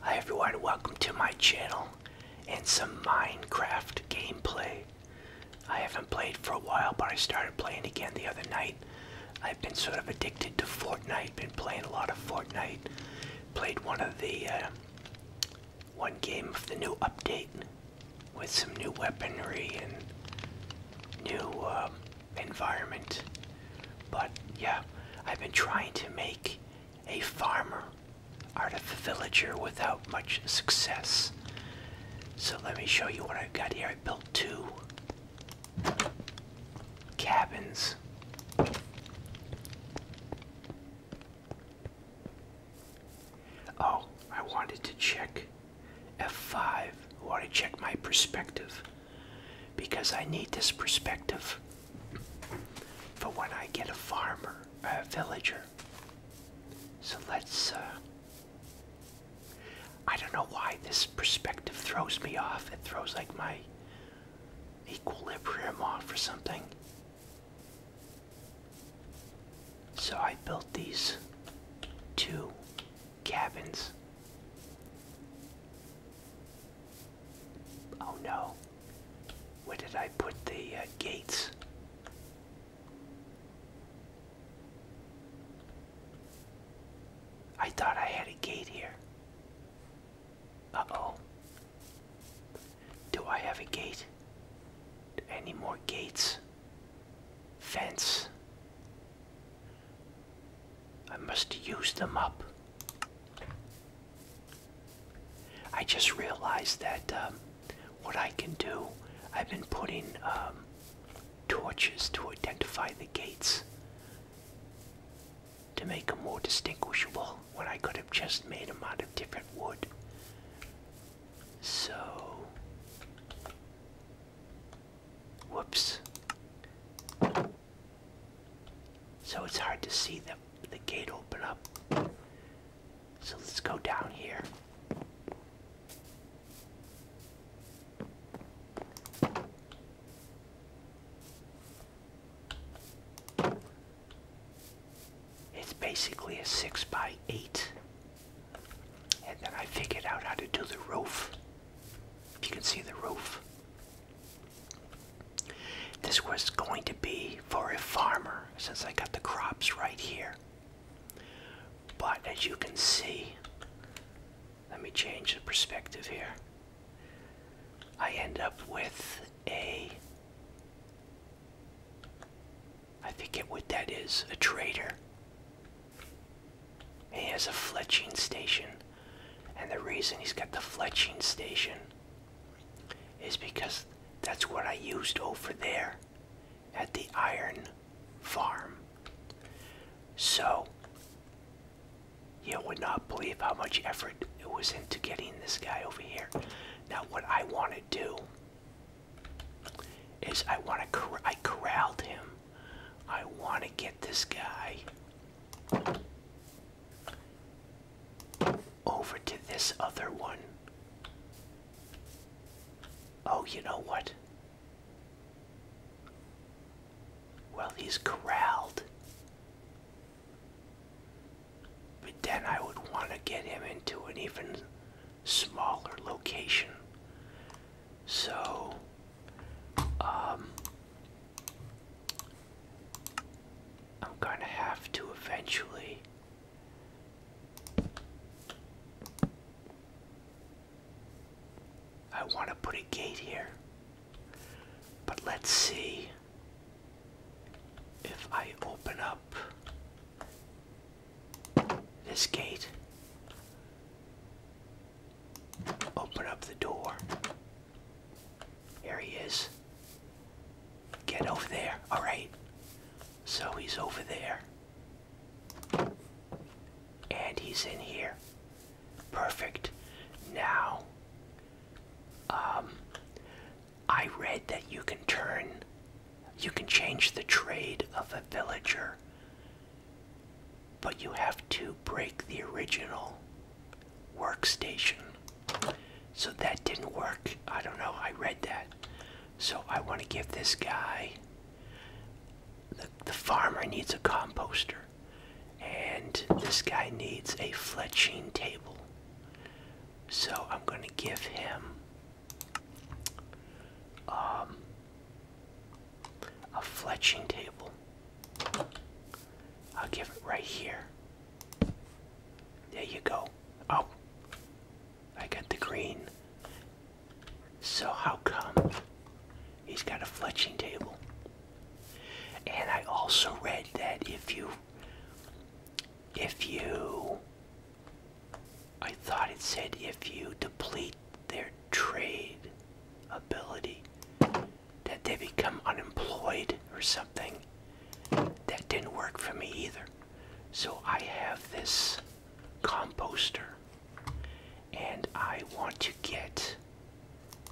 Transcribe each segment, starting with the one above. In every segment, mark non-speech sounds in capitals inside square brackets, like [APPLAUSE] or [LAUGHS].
Hi everyone, welcome to my channel and some Minecraft gameplay. I haven't played for a while, but I started playing again the other night. I've been sort of addicted to Fortnite, been playing a lot of Fortnite. Played one of the, uh, one game of the new update with some new weaponry and new, um, environment. But yeah, I've been trying to make a farmer out of a villager without much success. So let me show you what I've got here. I built two cabins. Oh, I wanted to check F5. I want to check my perspective because I need this perspective for when I get a farmer, a villager. So let's. Uh, I don't know why this perspective throws me off. It throws like my equilibrium off or something. So I built these two cabins. Oh no. Where did I put the uh, gates? I thought I had a gate here. Uh-oh. Do I have a gate? Any more gates? Fence? I must use them up. I just realized that um, what I can do, I've been putting um, torches to identify the gates to make them more distinguishable when I could have just made them out of different wood. So, whoops. So it's hard to see the, the gate open up. So let's go down here. It's basically a 6 by 8 And then I figured out how to do the roof. you can see the roof. This was going to be for a farmer since I got the crops right here. But as you can see, let me change the perspective here. I end up with a, I forget what that is, a trader. He has a fletching station and the reason he's got the fletching station is because that's what I used over there at the iron farm. So, you would not believe how much effort it was into getting this guy over here. Now, what I want to do is I want to I corralled him. I want to get this guy over to this other one. Oh, you know what? Well, he's corralled. But then I would want to get him into an even smaller location. So, um, I'm gonna have to eventually. I want to put a gate here, but let's see if I open up this gate, open up the door. Here he is. Get over there. All right. So he's over there. And he's in here. Perfect. Now, um, I read that you can turn, you can change the trade of a villager, but you have to break the original workstation. So that didn't work. I don't know. I read that. So I want to give this guy. The, the farmer needs a composter. And this guy needs a fletching table. So I'm going to give him um, a fletching table. I'll give it right here. There you go. Oh, I got the green. So how come he's got a fletching table? And I also read that if you, if you, I thought it said if you deplete their trade ability, that they become unemployed or something. That didn't work for me either. So I have this composter and I want to get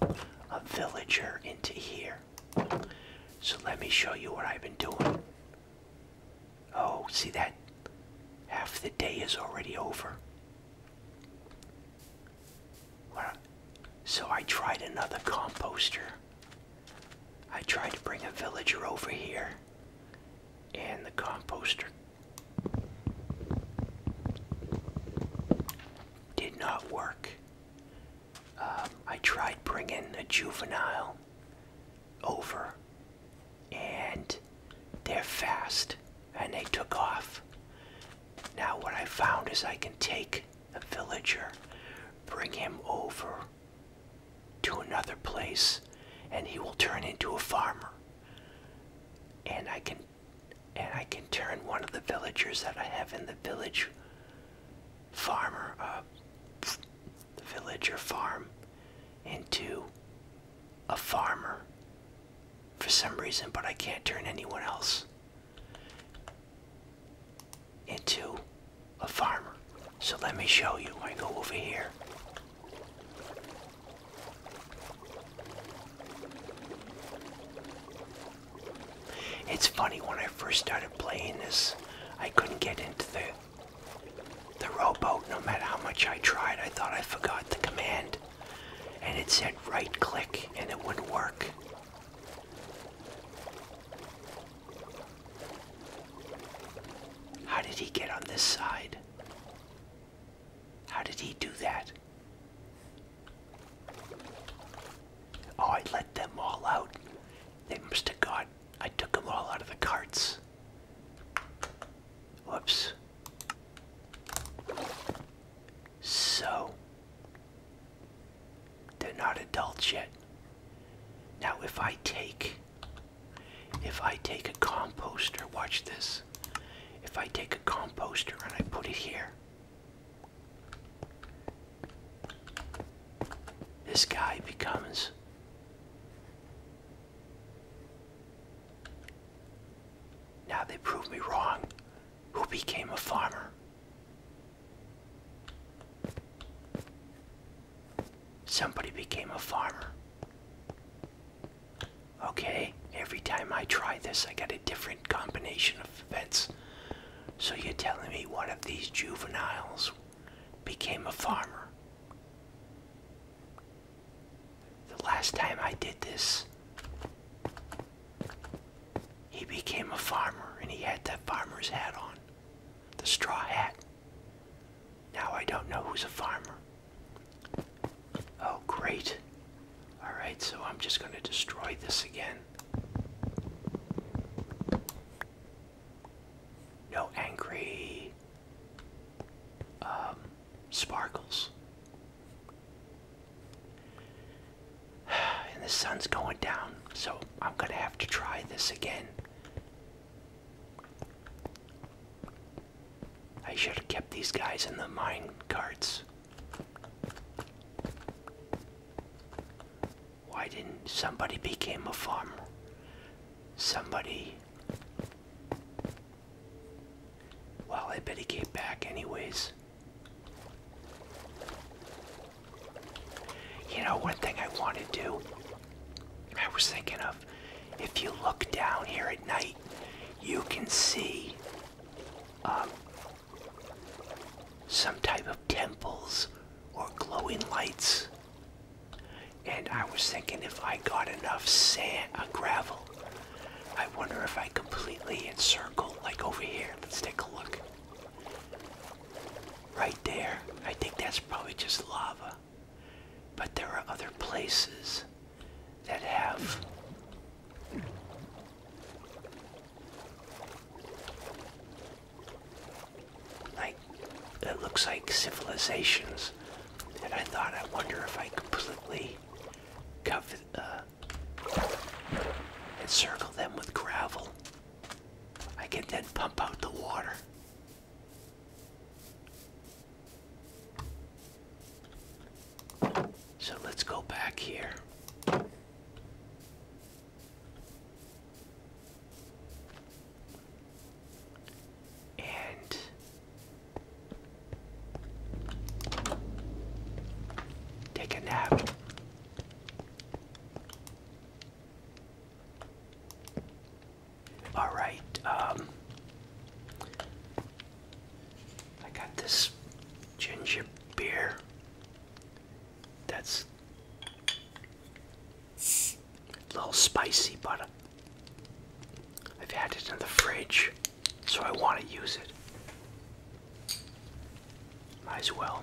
a villager into here. So let me show you what I've been doing. Oh, see that? Half the day is already over. So I tried another composter. I tried to bring a villager over here, and the composter did not work. Um, I tried bringing a juvenile over, and they're fast, and they took off. Now, what I found is I can take villager, bring him over to another place, and he will turn into a farmer. And I can and I can turn one of the villagers that I have in the village farmer uh, the village or farm into a farmer for some reason, but I can't turn anyone else into a farmer. So let me show you. I go over here. It's funny when I first started playing this, I couldn't get into the the rowboat no matter how much I tried. I thought I forgot the command. And it said right click and it wouldn't work. How did he get on this side? How did he do that? Oh, I let them all out. They must have got. I took them all out of the carts. Whoops. So, they're not adults yet. Now, if I take, if I take a composter, watch this. If I take a composter and I put it here, this guy becomes now they prove me wrong who became a farmer Somebody became a farmer. Okay, every time I try this, I get a different combination of events. So you're telling me one of these juveniles became a farmer? The last time I did this, he became a farmer and he had that farmer's hat on, the straw hat. Now I don't know who's a farmer. Oh, great. Alright, so I'm just going to destroy this again. No angry um, sparkles. [SIGHS] and the sun's going down, so I'm gonna have to try this again. I should have kept these guys in the mine carts. Why didn't somebody became a farmer? Somebody. Well, I bet he came back anyways. You know, one thing I want to do, I was thinking of, if you look down here at night, you can see um, some type of temples or glowing lights. And I was thinking if I got enough sand, uh, gravel, I wonder if I completely encircle, like over here. Let's take a look. Right there. I think that's probably just lava. But there are other places that have like that looks like civilizations and i thought i wonder if i completely cover uh, encircle them with gravel I can then pump out the water. So let's go back here. And take a nap. All right. Um, I got this ginger beer. That's a little spicy, but I've had it in the fridge, so I want to use it. Might as well.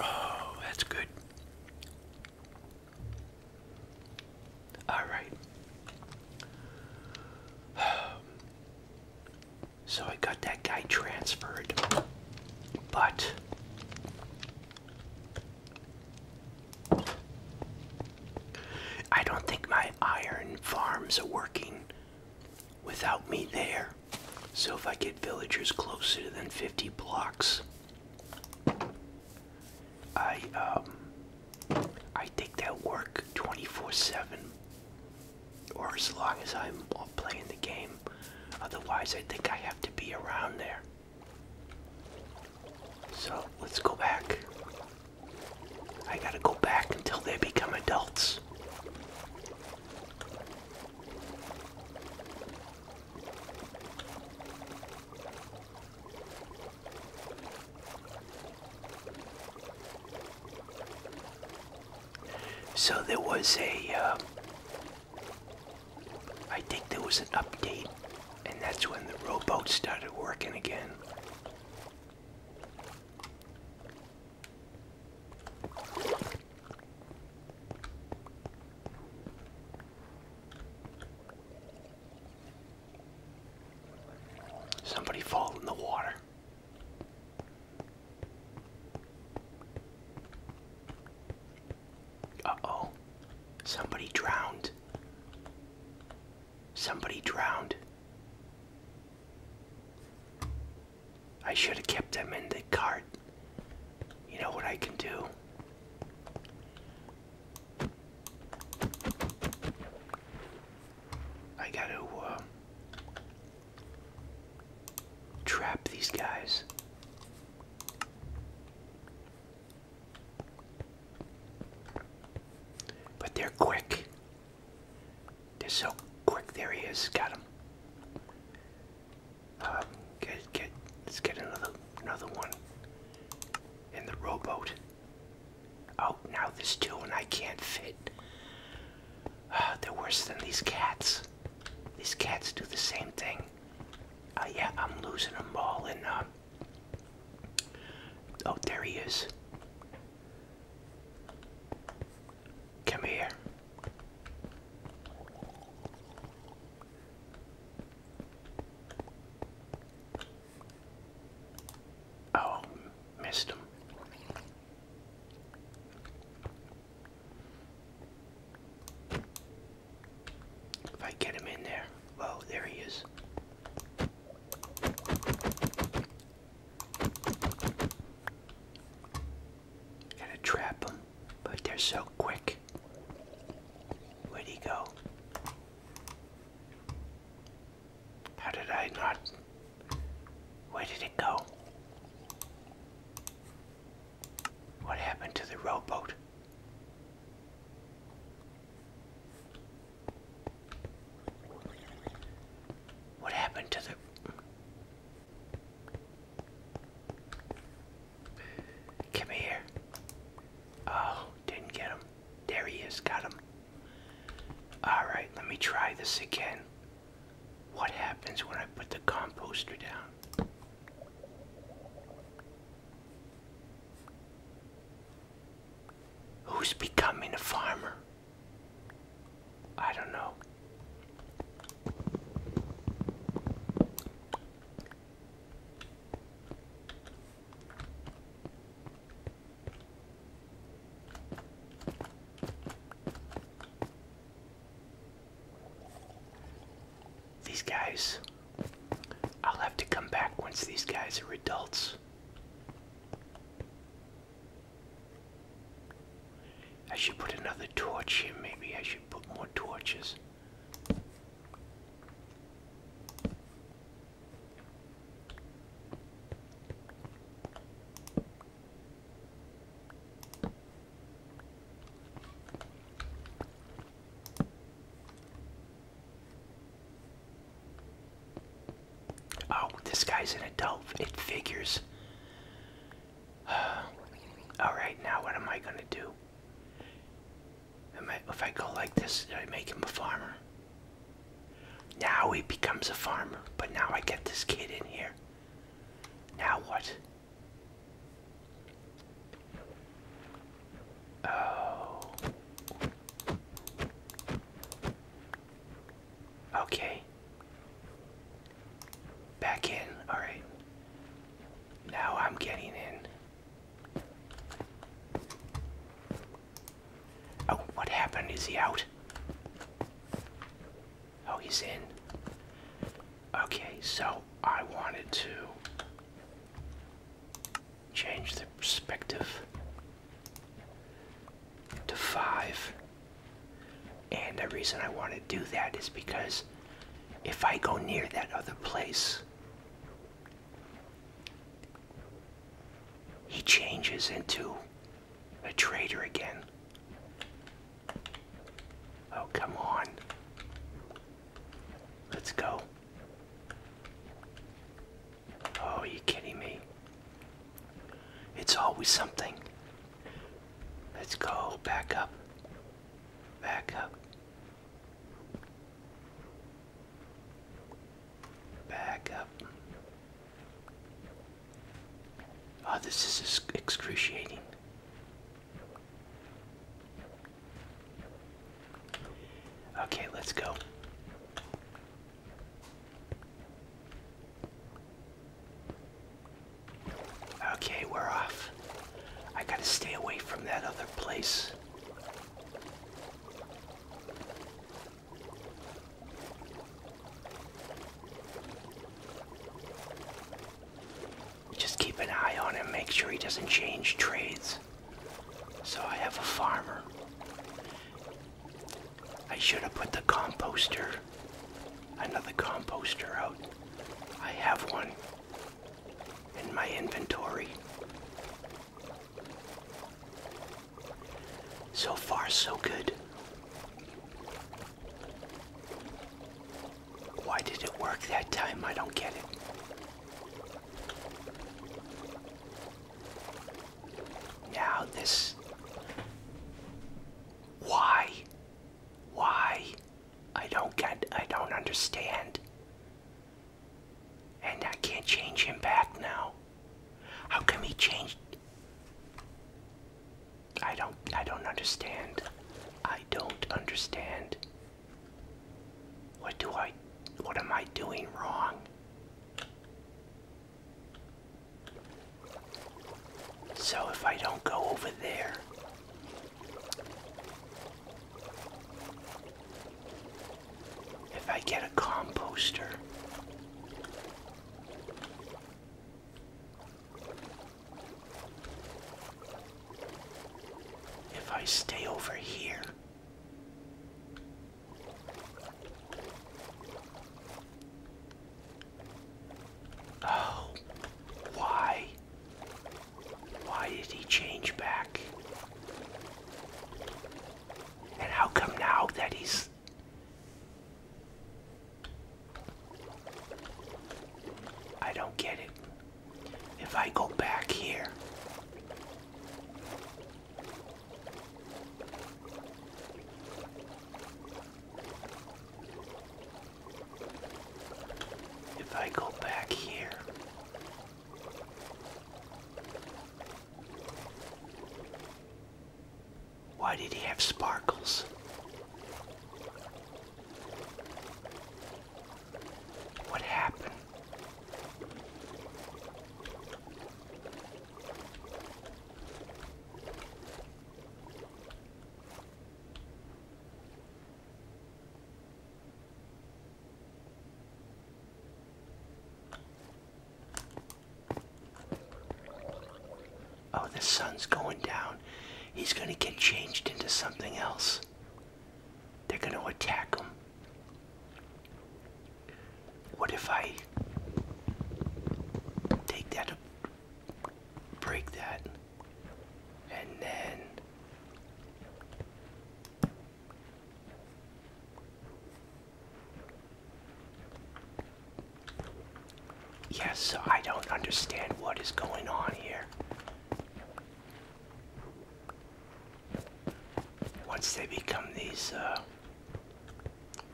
Oh, that's good. All right. [SIGHS] So I got that guy transferred, but I don't think my iron farms are working without me there. So if I get villagers closer than 50 blocks, I um I think that work 24/7 or as long as I'm playing the game. Otherwise, I think I have to be around there. So let's go back. I gotta go back until they become adults. So there was a, uh, I think there was an update, and that's when the rowboat started working again. Somebody fall in the water. Uh oh. Somebody drowned. Somebody drowned. I should have kept them in the cart. You know what I can do? I gotta uh, trap these guys. But they're quick. They're so quick. There he is. Got him. Um, get, get, let's get another another one in the rowboat. Oh, now there's two and I can't fit. Ah, they're worse than these cats. These cats do the same thing. Uh, yeah, I'm losing them all and, uh... Oh, there he is. Come here. Oh, missed him. If I get him in there. Oh, there he is. Gotta trap them, but they're so quick. where did he go? How did I not? Where did it go? What happened to the rowboat? What happened to the... Come here. Oh, didn't get him. There he is, got him. Alright, let me try this again. What happens when I put the composter down? Who's becoming a farmer? I don't know. These guys, I'll have to come back once these guys are adults. I should put another torch here. Maybe I should put more torches. Oh, this guy's an adult. It figures. [SIGHS] Alright, now what am I gonna do? if I go like this, I make him a farmer. Now he becomes a farmer, but now I get this kid in here. Now what? Oh. Okay. Back in. Alright. Now I'm getting in. Oh, what happened? Is he out? Oh, he's in. Okay, so I wanted to change the perspective to 5. And the reason I want to do that is because if I go near that other place, he changes into a traitor again. Oh, come on. Let's go. Oh, are you kidding me? It's always something. Let's go back up. Back up. Back up. Oh, this is excruciating. Okay, let's go. Okay, we're off. I gotta stay away from that other place. Just keep an eye on him, make sure he doesn't change trades. So I have a farmer. I should have put the composter, another composter out. I have one in my inventory. So far, so good. Why did it work that time? I don't get it. Now this. Why? Why? I don't get, I don't understand. And I can't change him back now. How can we change? I don't, I don't understand. I don't understand. What do I, what am I doing wrong? So if I don't go over there, if I get a composter, if I stay over here, oh, why why did he change back? And how come now that he's I don't get it. If I go back here, if I go back here, why did he have sparkles? What happened? Oh, the sun's going down. He's going to get changed into something else. They're going to attack him. What if I take that, break that? and then Yes, so I don't understand what is going on here. Once they become these uh,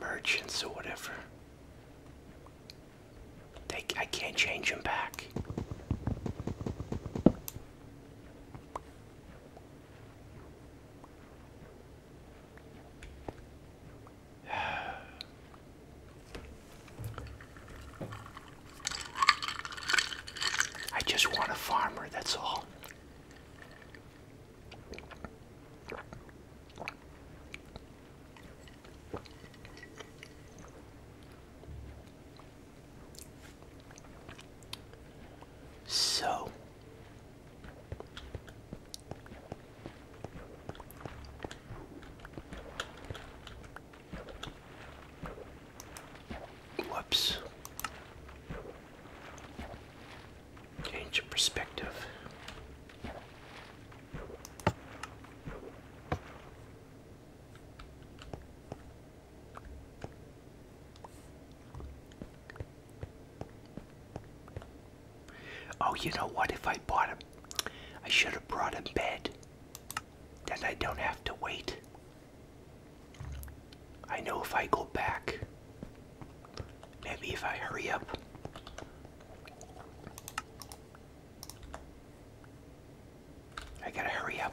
merchants or whatever, they, I can't change them back. [SIGHS] I just want a farmer, that's all. So whoops. Change of perspective. Oh, you know what? If I bought him, I should have brought him bed. Then I don't have to wait. I know if I go back, maybe if I hurry up. I gotta hurry up.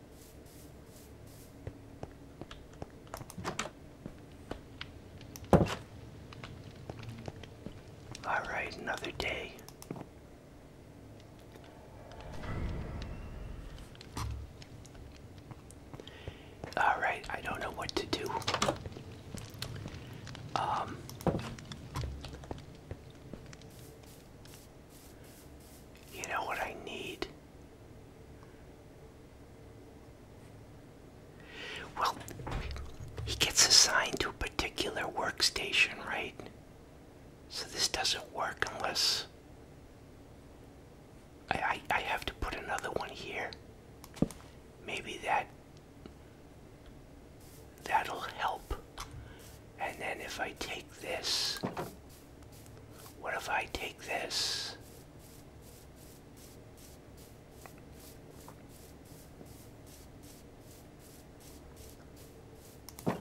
All right, another day. All right, I don't know what to do. Um you know what I need? Well, he gets assigned to a particular workstation, right? So this doesn't work unless I, I, I have to put another one here. Maybe that that'll help. And then if I take this what if I take this? Oh,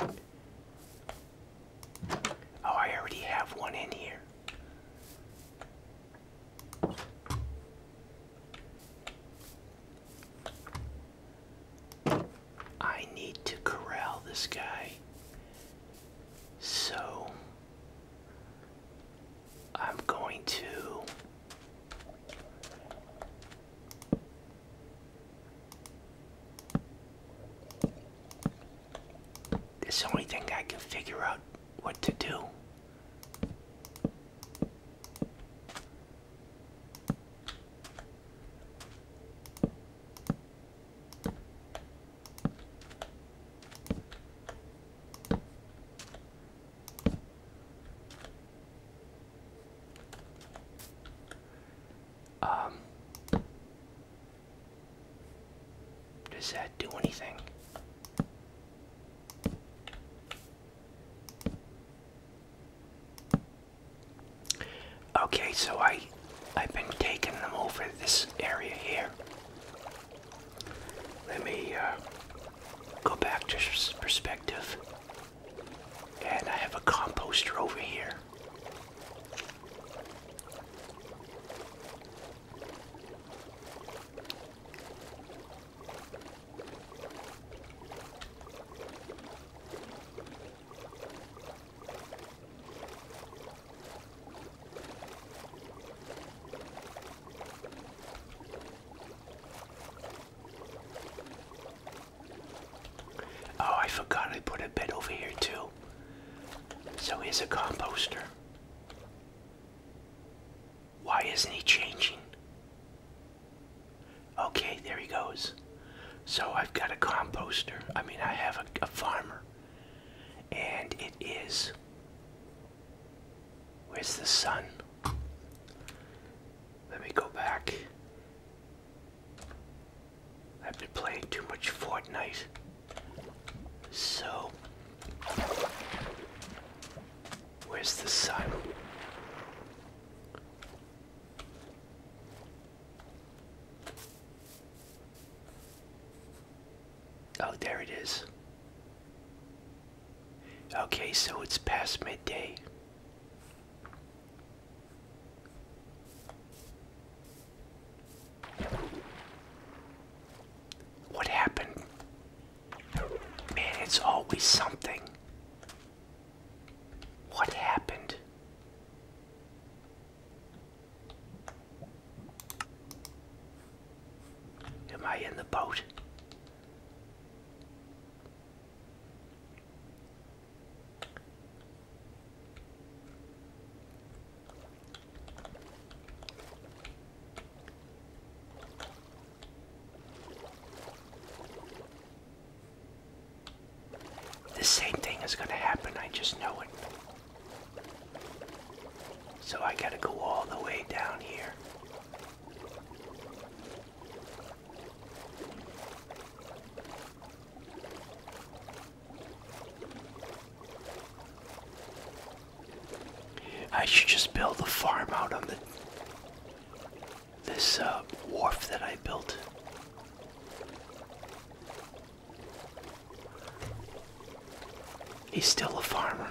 I already have one in here. I need to corral this guy so I'm going to it's the only thing I can figure out what to do. Um, does that do anything? Okay, so I I've been taking them over this area here. Let me uh, go back to perspective. And I have a composter over here. Oh, I forgot I put a bed over here too. So here's a composter. Why isn't he changing? Okay, there he goes. So I've got a composter. I mean, I have a, a farmer. And it is. Where's the sun? Let me go back. I've been playing too much Fortnite. So. Where's the sun? Oh, there it is. Okay, so it's past midday. What happened? Man, it's always something. What happened? Am I in the boat? The same thing is going to happen, I just know it. So I gotta go all the way down here. I should just build a farm out on the this uh, wharf that I built. He's still a farmer.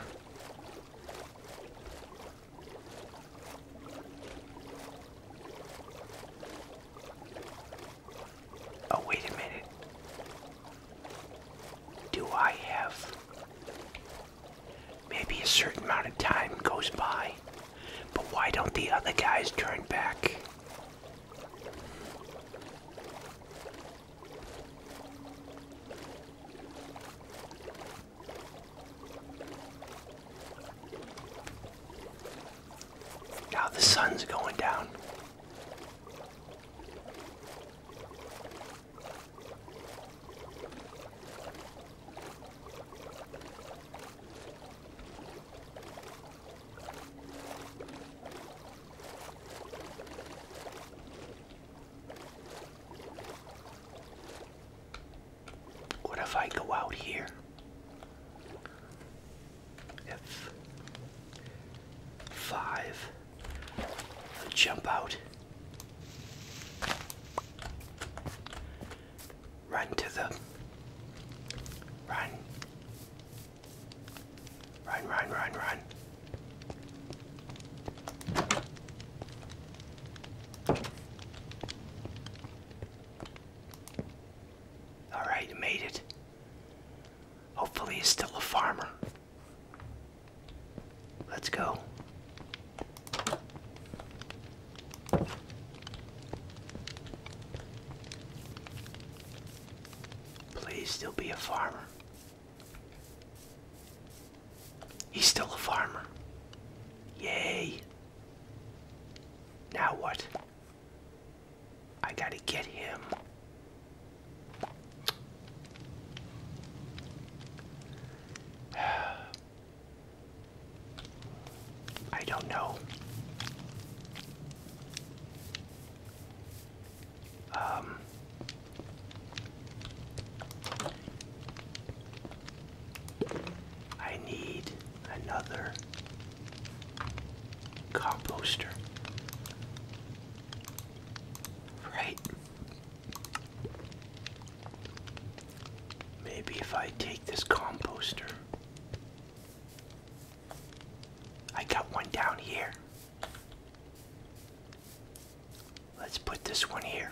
Oh, wait a minute. Do I have. Maybe a certain amount of time goes by, but why don't the other guys turn back? Now the sun's going down. What if I go out here? If five jump out, run to the run Run, run, run, run. Alright, made it. Hopefully, he's still a farmer. Let's go. Please, still be a farmer. He's still a farmer. Yay. Now what? I gotta get him. [SIGHS] I don't know. I need another composter. Right? Maybe if I take this composter. I got one down here. Let's put this one here.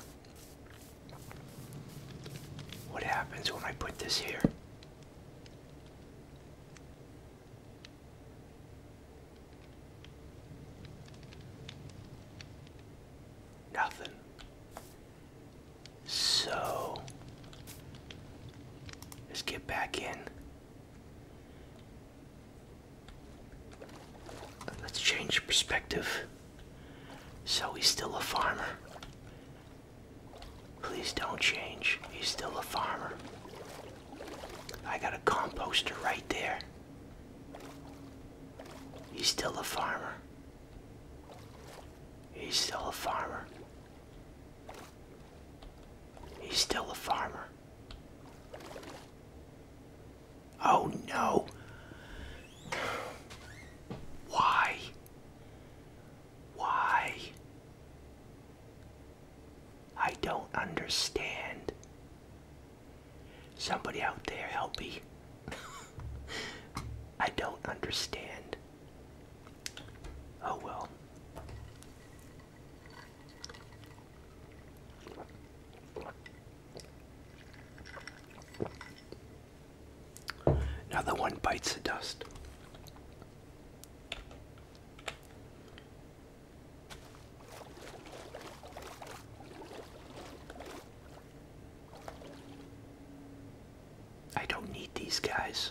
What happens when I put this here? Nothing. So let's get back in Let's change perspective. So he's still a farmer. Please don't change. He's still a farmer. I got a composter right there. He's still a farmer. He's still a farmer. He's still a farmer. Oh no. Why? Why? I don't understand. Somebody out there help me. [LAUGHS] I don't understand. Oh well. Now the one bites the dust. I don't need these guys.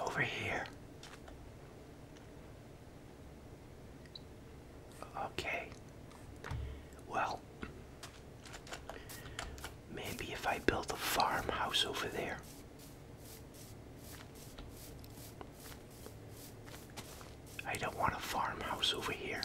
Over here. Okay. Well, maybe if I built a farmhouse over there. I don't want a farmhouse over here.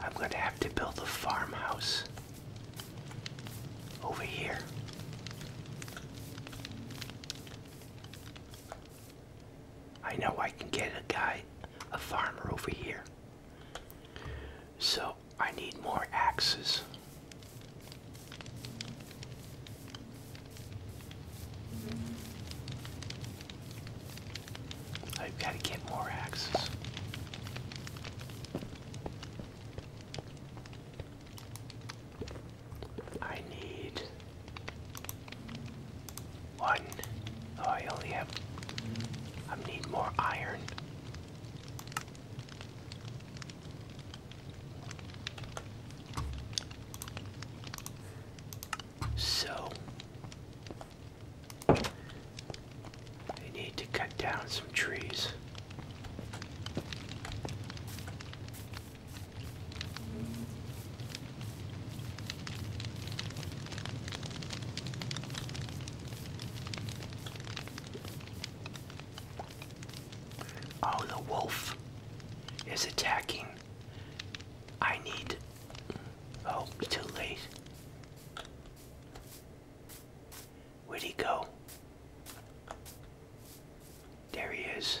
I'm going to have to build a farmhouse over here. I know I can get a guy, a farmer over here. So I need more axes. I've got to get more axes. I need one. Oh, I only have. I need more iron. So, I need to cut down some trees. Oh, the wolf is attacking. I need. hope oh, too late. Where'd he go? There he is.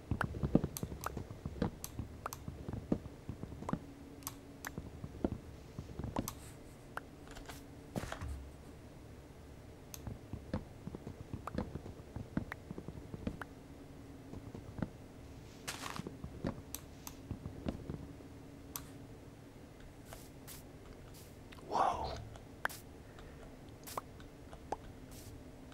Whoa.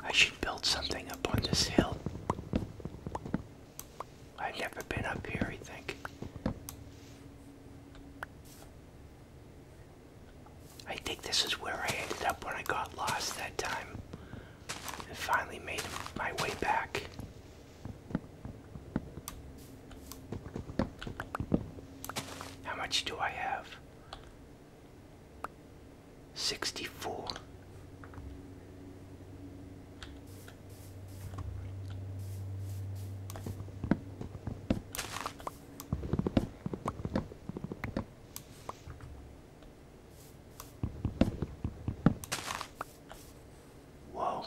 I should build something up on this hill. I've never been up here, I think. I think this is where I ended up when I got lost that time and finally made my way back. How much do I have? 64. Whoa,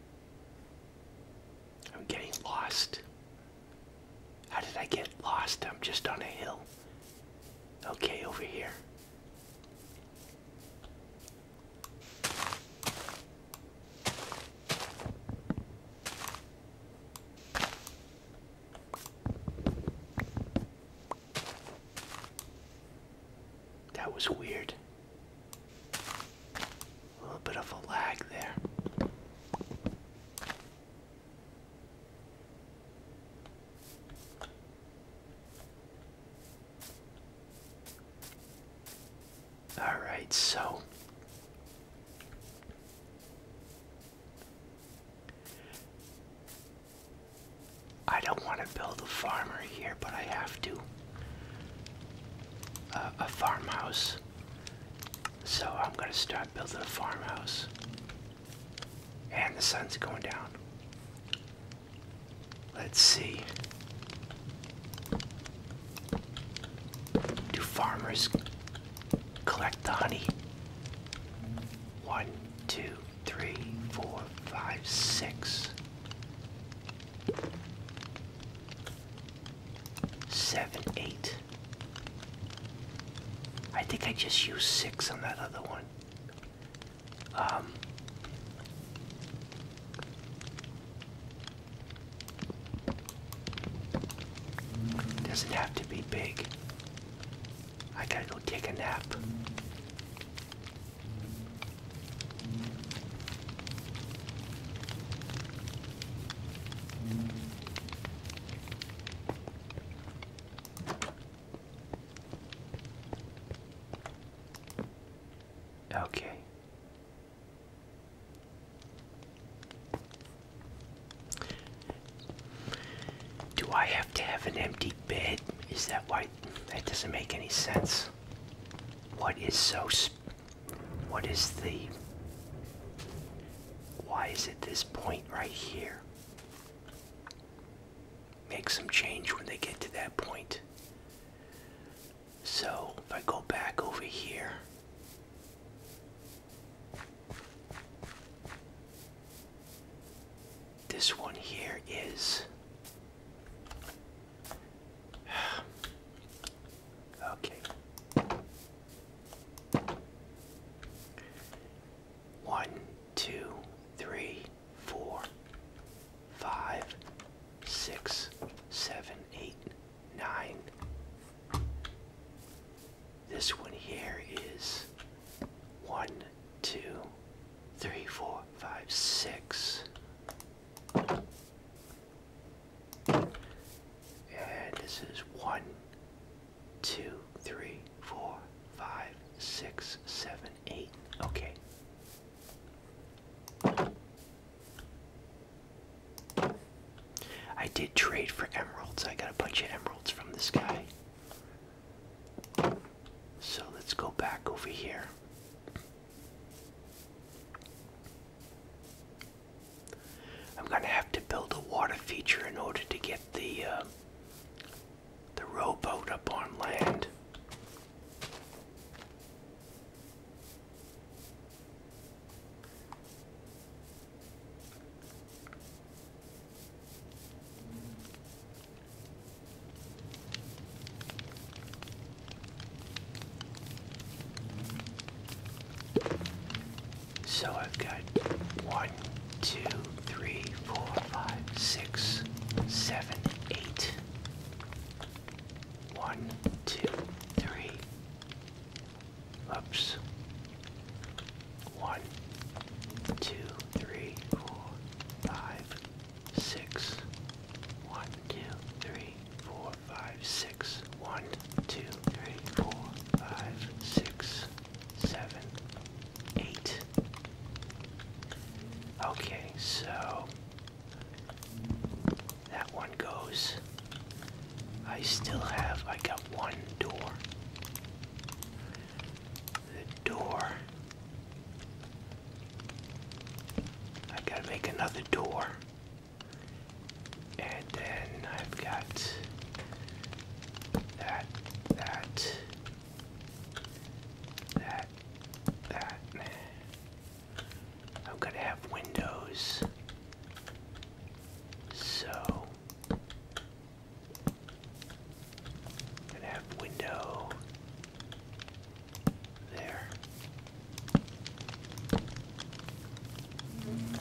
I'm getting lost. How did I get lost? I'm just on a hill. Okay, over here. That was weird. A little bit of a lag there. All right, so I don't want to build a farmer here, but I have to. a farmhouse. So I'm going to start building a farmhouse. And the sun's going down. Let's see. Do farmers collect the honey? One, two, three, four, five, six. Seven, eight. I think I just used six on that other one. Um, doesn't have to be big. I gotta go take a nap. Okay. Do I have to have an empty bed? Is that why? That doesn't make any sense what is so what is the why is it this point right here make some change when they get to that point so if I go back over here this one here is [SIGHS] okay. One, two, three, four, five, six, seven, eight, nine. This one here is one, two, three, four, five, six. And this is one, two, three, four, five, six, seven, eight. Okay. I did trade for emeralds. I got a bunch of emeralds from this guy. So let's go back over here. I'm gonna have to build a water feature in order to get the um, the rowboat up on land. So I've got one, two, three, four, five, six, seven, eight. One, two, three. Oops. One, two, three, four, five, six. One, two, three, four, five, six. One, two, three, four, five, six, seven, eight. Okay, so that one goes. I still have, I got one door. The door I've got to make another door. And then I've got that, that, that, that. I'm going to have windows. So, I'm going to have window there. And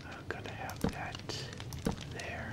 I'm going to have that there.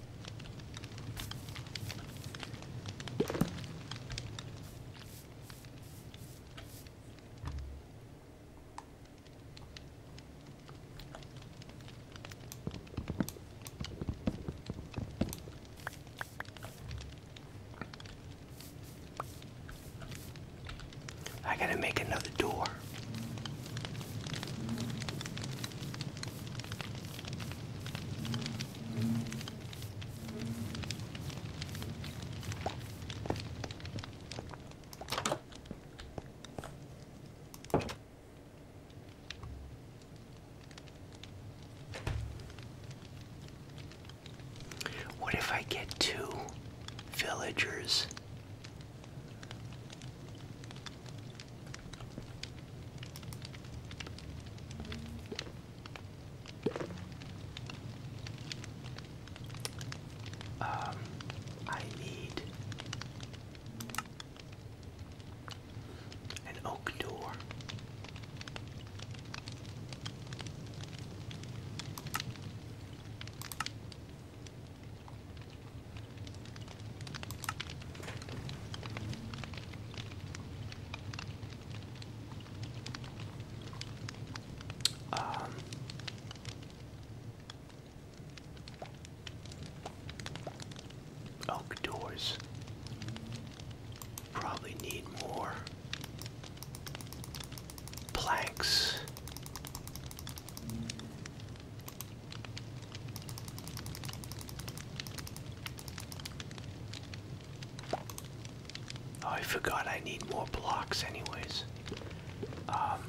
I gotta make another door. What if I get two villagers? Um, I need an oak door. Um, doors probably need more planks Oh, I forgot I need more blocks anyways. Um,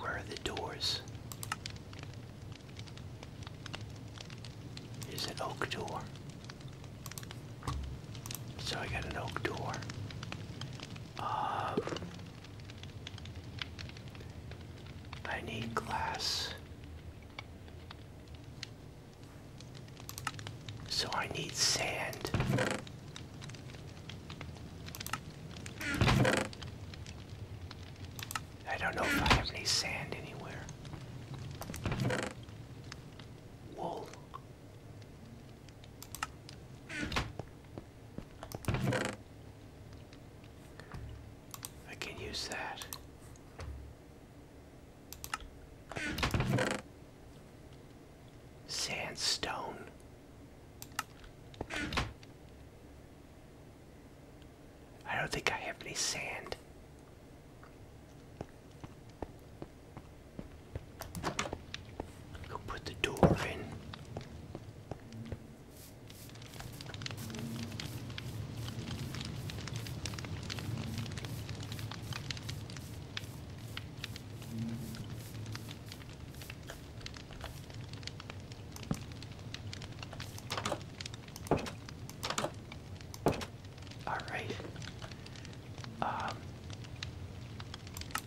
where are the doors? Is an oak door. So I got an oak door. I need glass. So I need sand. I don't know if I have any sand anywhere. Wool. I can use that. Sandstone. I don't think I have any sand. Go put the door in. All right. Um,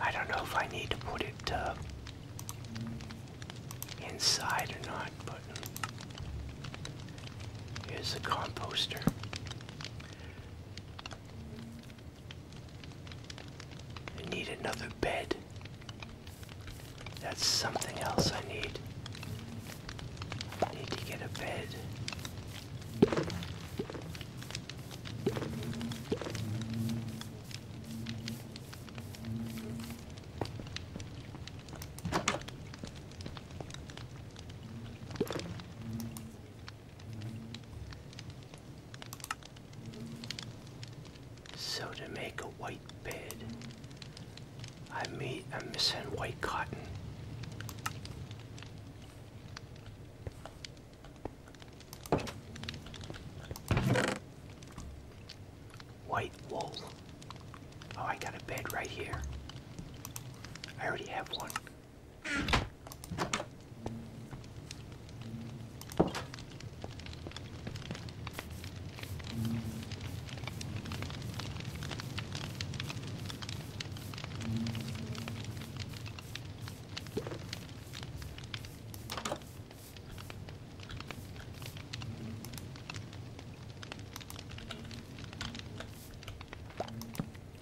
I don't know if I need to put it uh, inside or not, but here's the composter. I need another bed. That's something else I need. Need to get a bed. So to make a white bed, I meet, a missing white cotton. White wool. Oh, I got a bed right here. I already have one.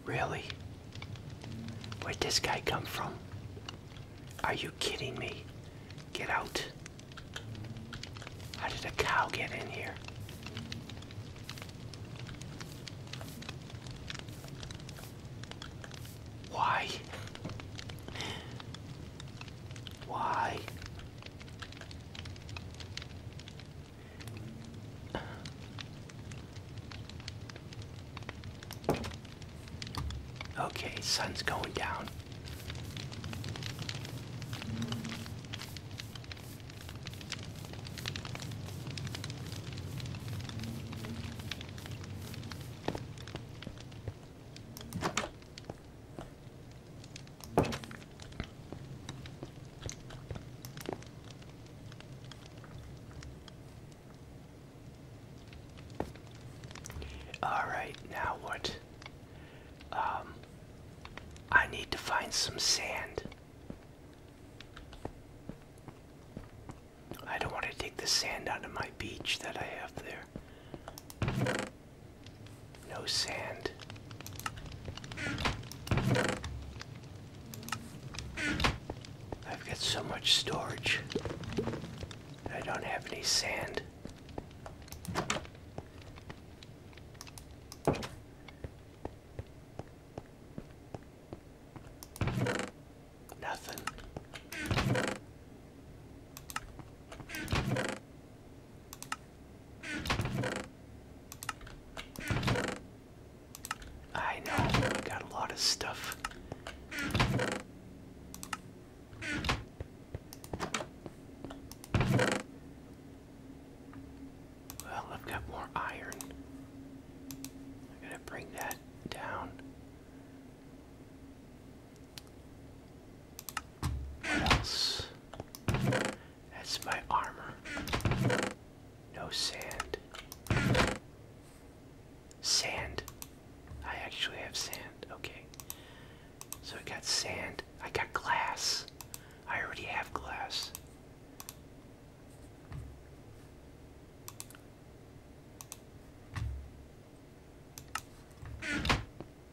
Really? Where'd this guy come from? Are you kidding me? Get out. How did a cow get in here? Why? Why? Okay, sun's going down. All right, now what? Um, I need to find some sand. I don't want to take the sand out of my beach that I have there. No sand. I've got so much storage. I don't have any sand. Nothing. I know, got a lot of stuff. Well, I've got more iron. I'm gonna bring that down. else? That's my armor. No sand. Sand. I actually have sand. Okay. So I got sand. I got glass. I already have glass.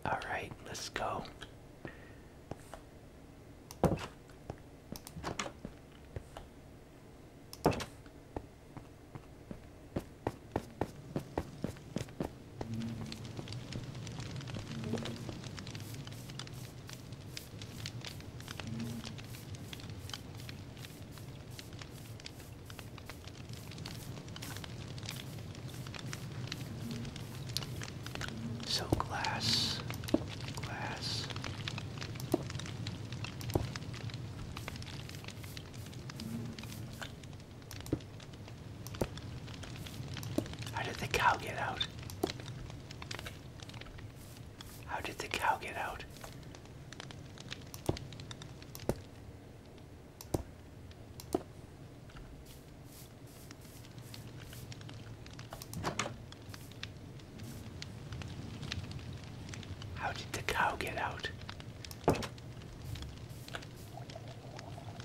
All right, let's go. So glass, glass. How did the cow get out? How did the cow get out? How did the cow get out?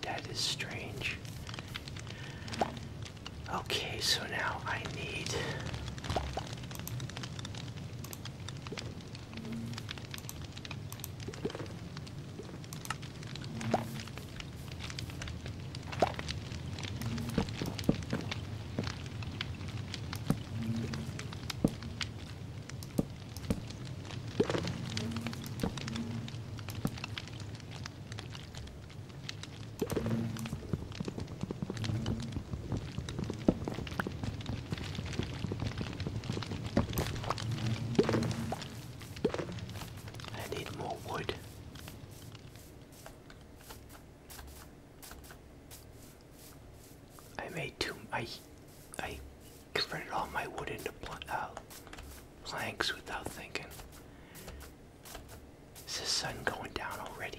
That is strange. Okay, so now I need I need more wood. I made two. I I converted all my wood into uh, planks without thinking. Is the sun going down already?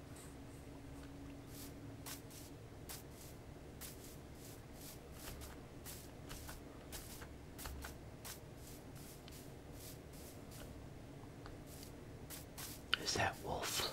Is that wolf?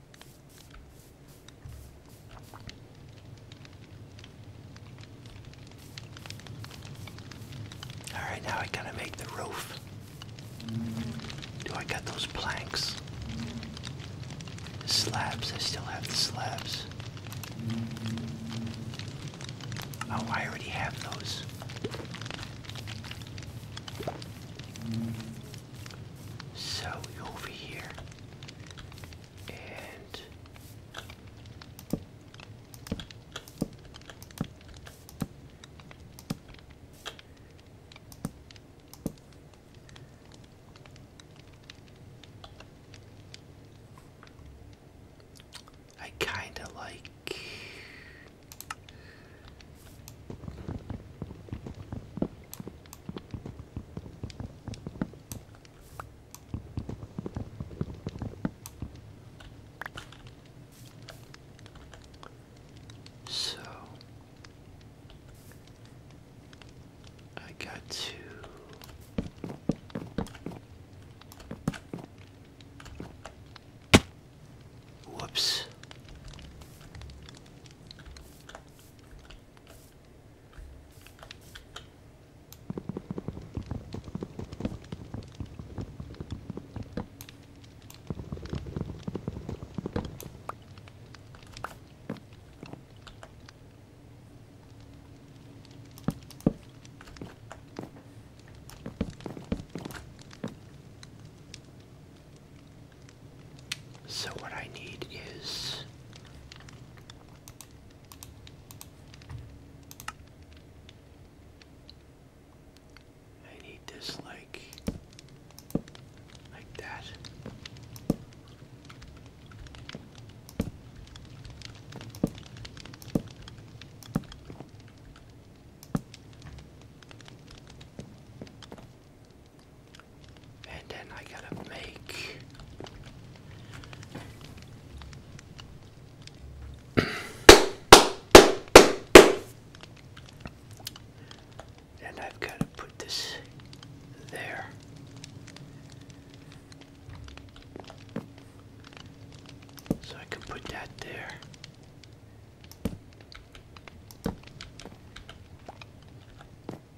All right, now I gotta make the roof. Do I got those planks? slabs, I still have the slabs. Oh, I already have those. So over here, I kind of like so I got to Whoops. So what I need is I need this like like that. And then I gotta make [COUGHS] and I've got to put this there. So I can put that there.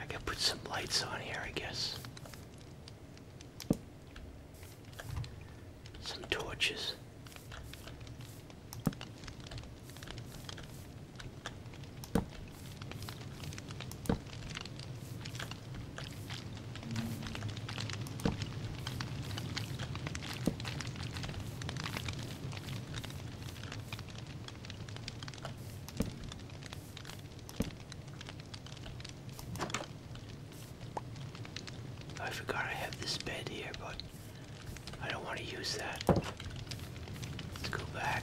I can put some lights on here, I guess. Some torches. I forgot I have this bed here, but I don't want to use that. Let's go back.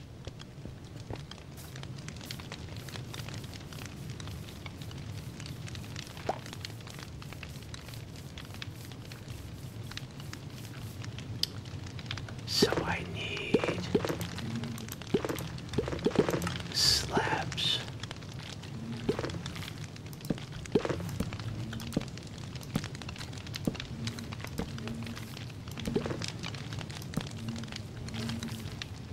So I need slabs.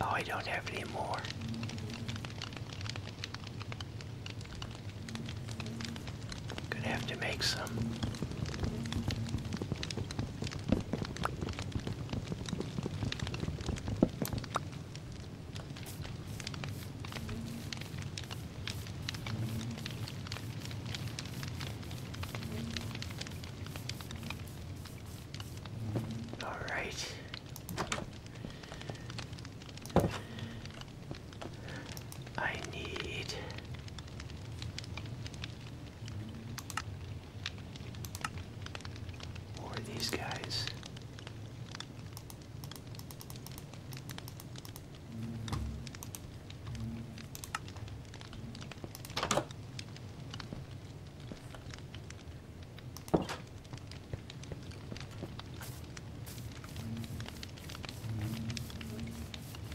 Oh, I don't have any more. Gonna have to make some. All right. I need or these guys.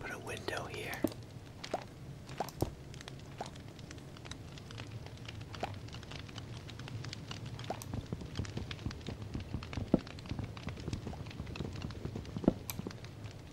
Put a window here.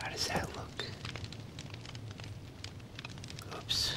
How does that look? Oops.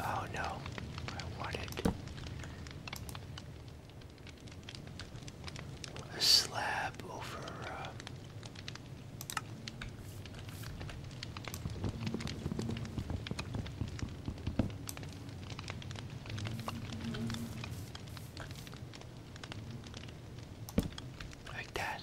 Oh no, I wanted a slab over. Uh, like that.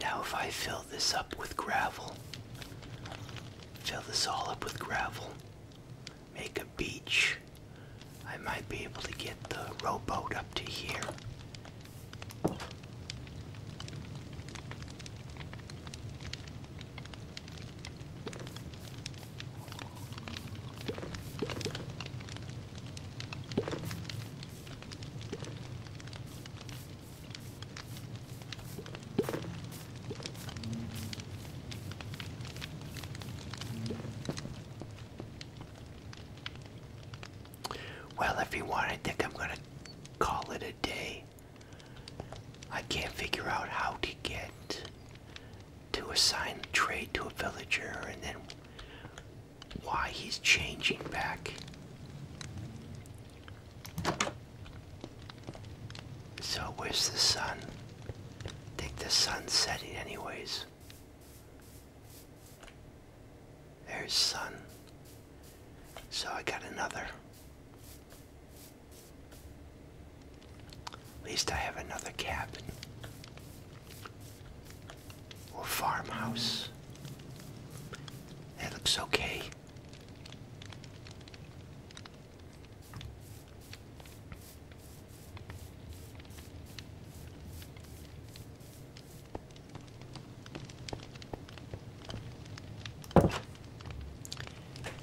Now, if I fill this up with gravel, fill this all up with gravel, make a beach, I might be able to get the rowboat up to here. Well, if you want, I think I'm going to call it a day. I can't figure out how to get to assign trade to a villager and then why he's changing back. So where's the sun? I think the sun's setting anyways. There's sun. So I got another at least I have another cabin or farmhouse. That looks okay.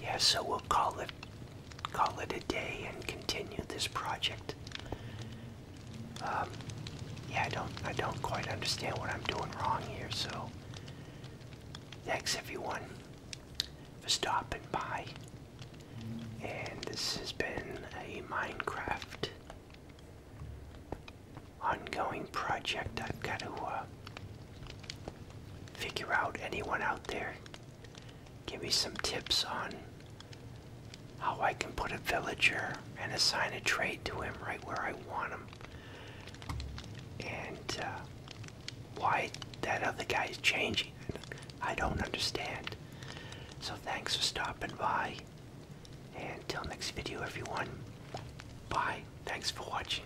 Yeah, so we'll call it call it a day and continue this project. Um, yeah, I don't, I don't quite understand what I'm doing wrong here. So, thanks everyone for stopping by. And this has been a Minecraft ongoing project. I've got to uh, figure out anyone out there give me some tips on how I can put a villager and assign a trade to him right where I want him. And uh, why that other guy is changing, I don't understand. So thanks for stopping by. And till next video, everyone. Bye. Thanks for watching.